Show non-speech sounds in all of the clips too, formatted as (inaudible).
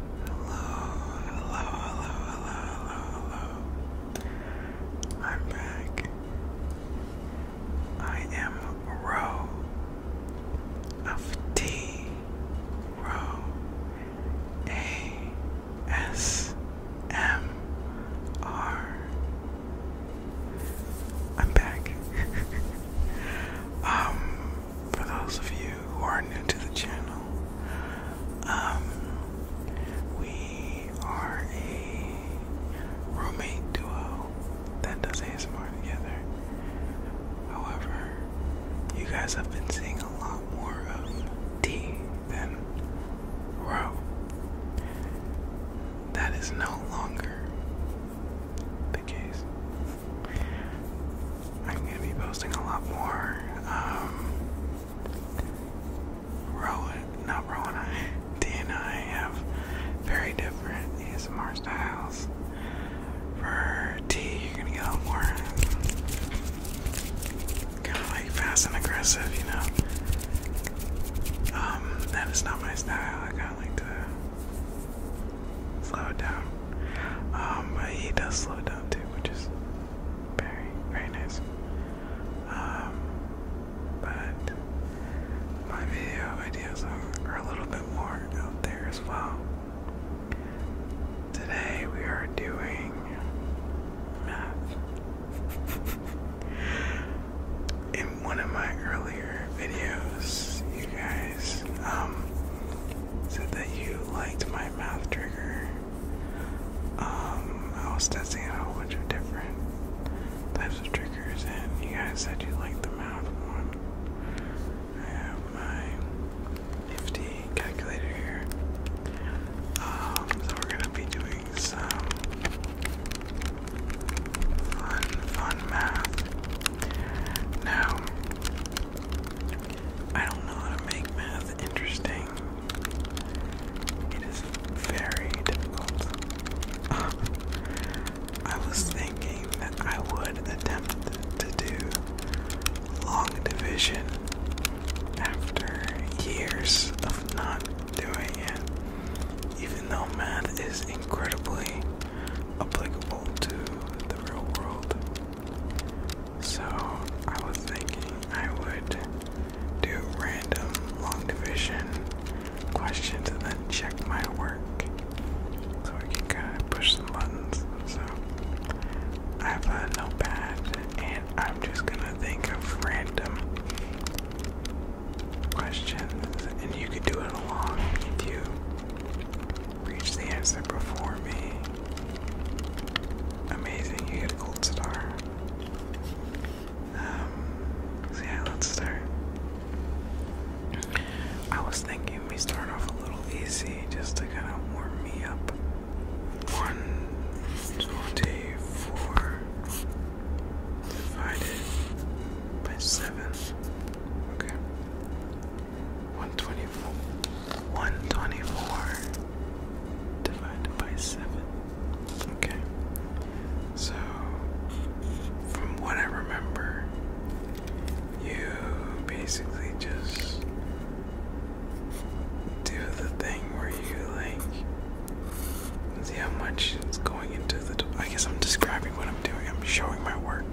hello, hello, hello, hello. I'm back. I am Row M R. I'm back. (laughs) um for those of you who are new to the channel, um, we are a roommate duo that does ASMR together. However, you guys have been seeing a lot more of D than Ro. That is no longer case. I'm going to be posting a lot more. Um, Rowan, not Rowan, I, (laughs) D and I have very different ASMR styles. For T, you're going to get a lot more kind of like fast and aggressive, you know. Um, that is not my style. I kind of like to slow down. Um, but he does slow down too, which is very, very nice. Um, but my video ideas are a little bit more out there as well. Today we are doing math. (laughs) In one of my earlier videos, you guys um, said that you liked my mouth trigger. Um, I was testing a whole bunch of different types of triggers, and you guys said you liked the math one. I have my nifty calculator here. Um, so we're gonna be doing some fun, fun math. Now, I don't know how to make math interesting. It is very difficult. (laughs) I was thinking that I would attempt to do long division after years of not doing it, even though math is incredibly applicable to the real world. So I was thinking I would do random long division questions and then check my work so I can kind of push some buttons. So I have a notepad and I'm just gonna think of random questions and you could do it along with you Reach the exit before me. Amazing, you get a gold star. Um, yeah, let's start. I was thinking we start off a little easy just to kind of warm me up. One, twenty, four divided by seven. Okay. 124. 124 divided by 7. Okay. So, from what I remember, you basically just do the thing where you like see how much is going into the. I guess I'm describing what I'm doing, I'm showing my work.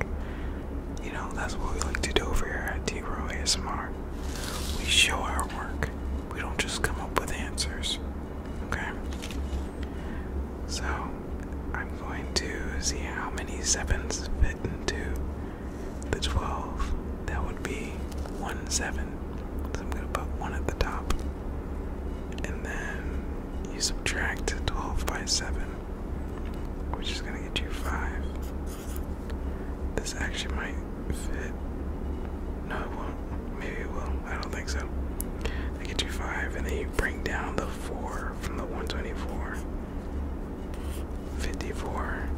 You know, that's what we like to do over here at D ASMR. We show our work. We don't just come up with answers. Okay? So, I'm going to see how many sevens fit into the 12. That would be one seven. So, I'm going to put one at the top. And then you subtract 12 by 7. We're just gonna get you five. This actually might fit. No, it won't. Maybe it will. I don't think so. They get you five, and then you bring down the four from the 124. 54.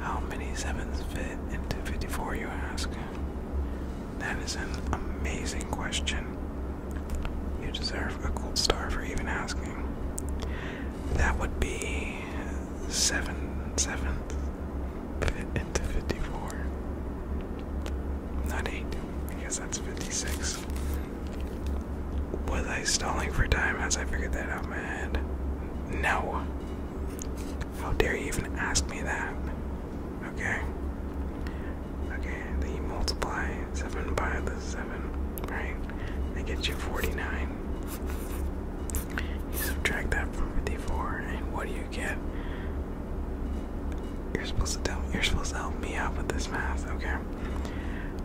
How many sevens fit into 54, you ask? That is an amazing question. You deserve a gold star for even asking. That would be seven seventh into fifty-four. Not eight, because that's fifty-six. Was I stalling for time as I figured that out in my head? No. How dare you even ask me that? Okay. Okay, then multiply 7 by the 7, right? They get you 49. You subtract that from 54, and what do you get? You're supposed to tell you're supposed to help me out with this math, okay?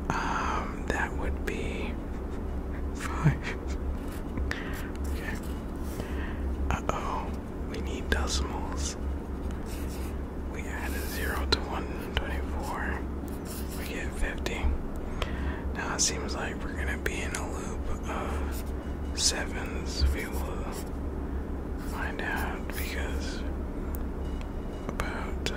Um, that would be five. okay. Uh oh, we need decimals we add a 0 to 124, we get 50. Now it seems like we're gonna be in a loop of sevens. We will find out because about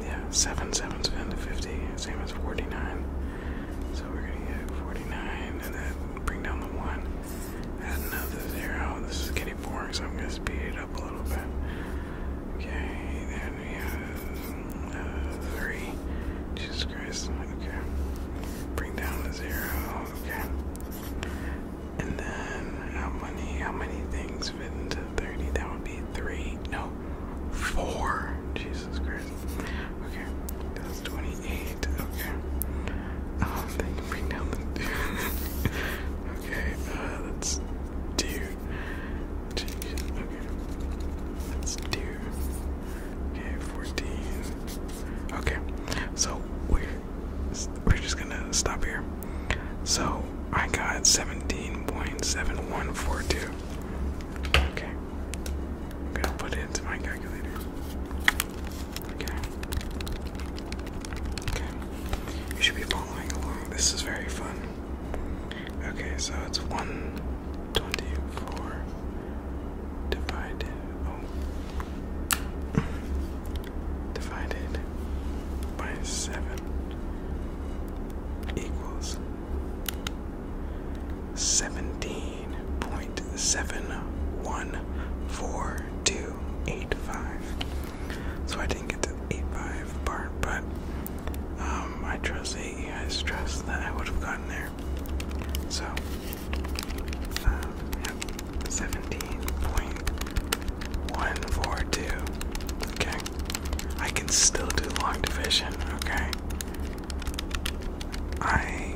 yeah, seven sevens into fifty, same as forty nine. So we're gonna get forty nine and then bring down the one another zero. This is getting boring, so I'm gonna speed it up a little bit. Okay, then we have uh, three. Jesus Christ. Okay. Bring down the zero. Okay. And then how many? How many things fit into thirty? That would be three. No, four. Jesus Christ. Okay, that's 28. Okay. Um, oh, they can bring down the (laughs) okay, uh, that's deer. Change it. Okay. That's deer. Okay, 14. Okay, so we're, we're just gonna stop here. So I got 17.7142. Okay. I'm gonna put it into my calculator. Okay. Okay. You should be following along. This is very fun. Okay, so it's 124 divided. Oh, divided by 7 equals 17. 15.71425. So I didn't get to 85 part, but um, I trust that you guys trust that I would have gotten there. So, uh, 17.142. Okay, I can still do long division, okay? I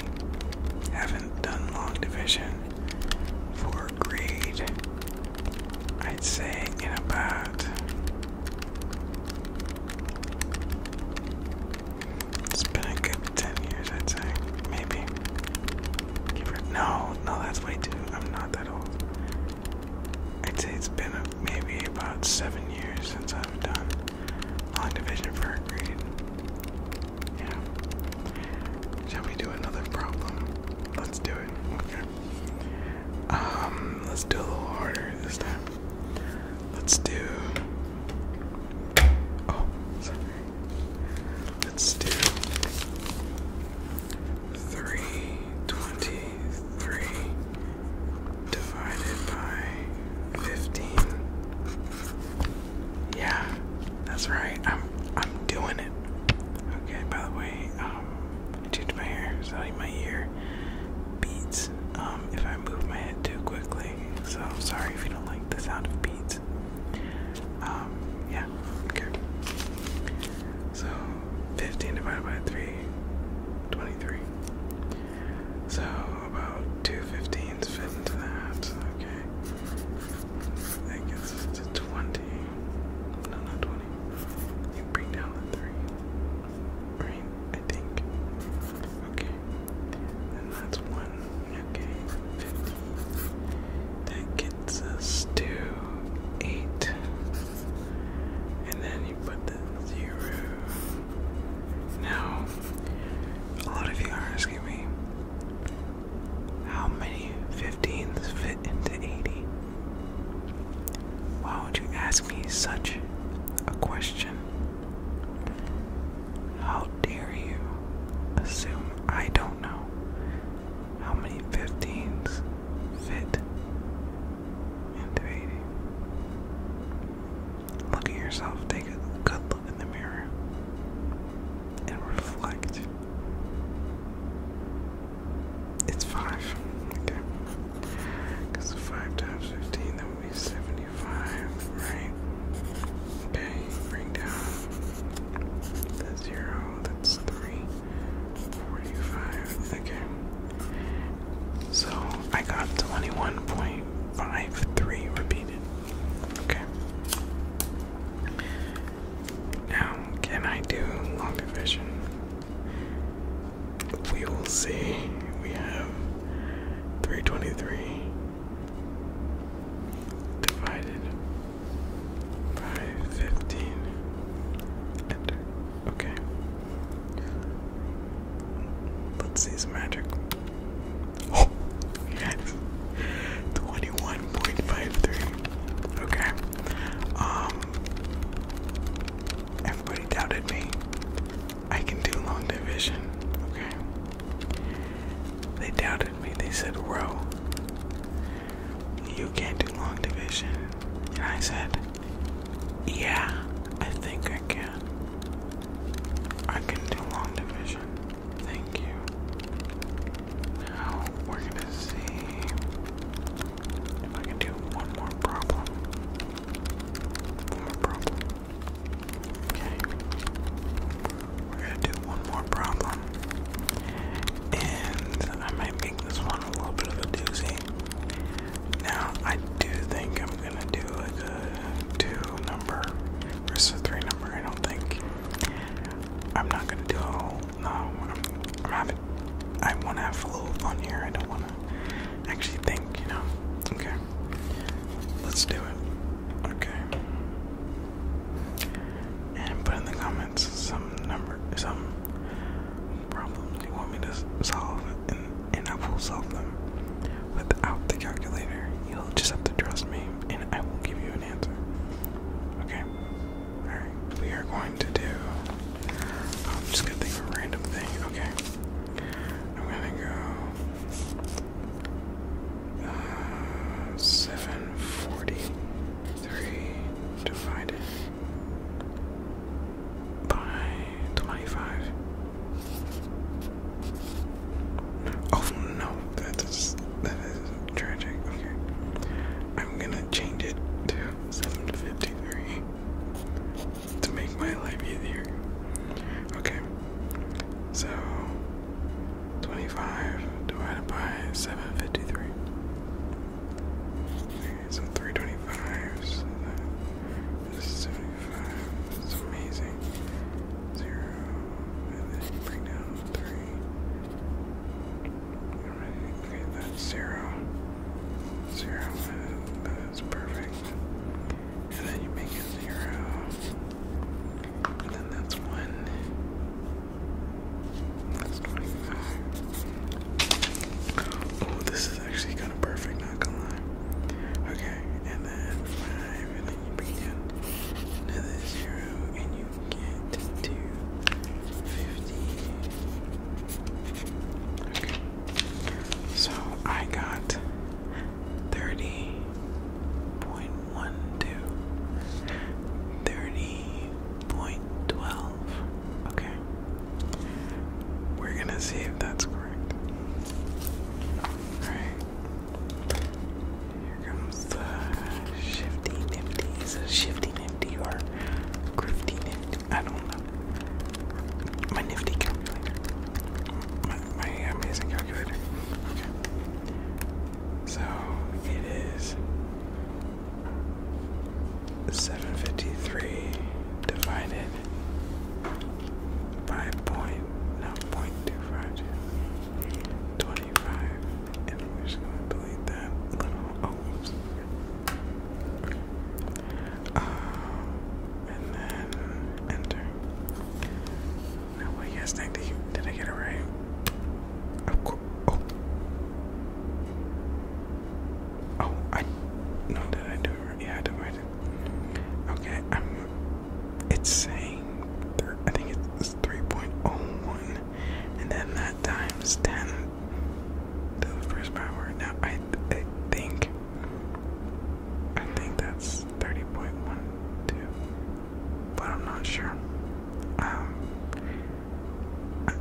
haven't done long division for grade, I'd say, in about. It's been a good 10 years, I'd say. Maybe. No, no, that's way too. I'm not that old. I'd say it's been maybe about seven years since I've done long division for a grade. Yeah. Shall we do another problem? Let's do it. Um, let's do a little harder this time. Let's do. Oh, Let's do three twenty-three divided by 15. Yeah, that's right. I'm I'm doing it. Okay, by the way, um, I changed my hair, so my ear beats um, if I move my head too quickly. So sorry if you don't like the sound of beats. Um, yeah, okay. So 15 divided by 3, 23. So about two fifteens fit into that. Okay. That gets us to twenty. No, not twenty. You bring down the three. Right? I think. Okay. And that's one. Okay. Fifty. That gets us to eight. And then you put the zero now, a lot of you are asking me how many 15s fit into 80. Why would you ask me such a question? How dare you assume I don't know how many 15s fit into 80? Look at yourself, take a good look in the mirror, and reflect. It's 5, okay? Because 5 times 15, that would be 75, right? Okay, bring down the 0, that's 3, 45, okay. So I got 21.53 repeated. Okay. Now, can I do long division? We will see. We have 323 divided by 15. Enter. Okay. Let's see some magic. Oh, yes. 21.53. Okay. Um, everybody doubted me. I can do long division. Okay. They doubted me. They said, Row, you can't do long division. And I said, yeah, I think I can. I can do long division. Thank you. Now we're gonna see if I can do one more problem. One more problem. Okay. We're gonna do one more problem. And I might make this one a little bit of a doozy. Now, I do think I'm gonna do like a two number versus a three number. I don't think I'm not gonna do No, I'm, I'm having. I want to have a little fun here. I don't want to actually think, you know. Okay, let's do it. Okay, and put in the comments some number, some problems you want me to solve, and, and I will solve them without the calculator. You'll just have to trust me, and I will give you an answer. Okay? Alright, we are going to do. Um, just gonna think of a random thing. Okay. I'm gonna go. Uh, 743 divided by 25. Oh no, that is that is tragic. Okay, I'm gonna change it to 753 to make my life easier. Okay, so 25 divided by 753 so 325, so that is 75, that's amazing. 0, and then bring down 3. okay, that's 0. 0, that is perfect. And then you make it 0. then that's 1 this is actually kind of perfect, not gonna lie. Okay, and then 5, and then you begin another 0, and you get to 50. Okay, so I got 30.12. 30.12 Okay. We're gonna see if that's correct. Alright. Here comes the shifty nifty. Is it shifty nifty or grifty nifty? I don't know. My nifty calculator. my amazing calculator. Okay. So it is 753 divided by point zero point two five twenty-five, and we're just gonna delete that little, oh, um, and then enter. Now what do you guys think? Did, I get it right? Oh, I no, did I do Yeah, I did. Okay, I'm. Um, it's saying I think it's 3.01, and then that times 10 to the first power. Now I, I think I think that's 30.12, but I'm not sure. Um,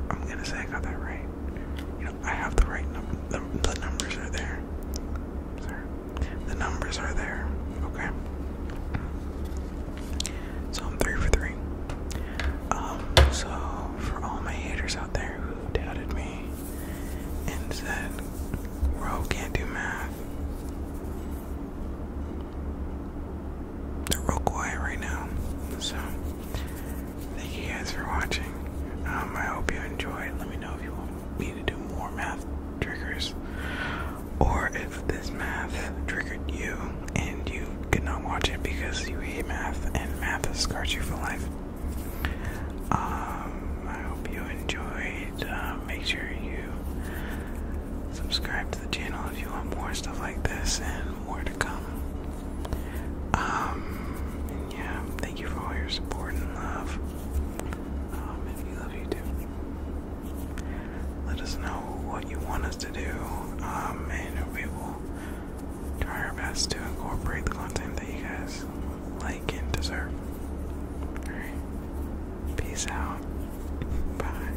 I'm gonna say I got that right. You know, I have the right number. The, the numbers are there. Sorry. The numbers are there. Okay. So I'm three for three. Um, so for all my haters out there who doubted me and said, Ro can't do math they're real quiet right now. So thank you guys for watching. Um, I hope you enjoyed. Let me know if you want me to do more math triggers, or if this math triggered you and you could not watch it because you hate math and math has scarred you for life. Um, I hope you enjoyed. Uh, make sure you subscribe to the channel if you want more stuff like this more to come. Um, yeah, thank you for all your support and love. Um, and love you Let us know what you want us to do, um, and we will try our best to incorporate the content that you guys like and deserve. Alright, peace out. Bye.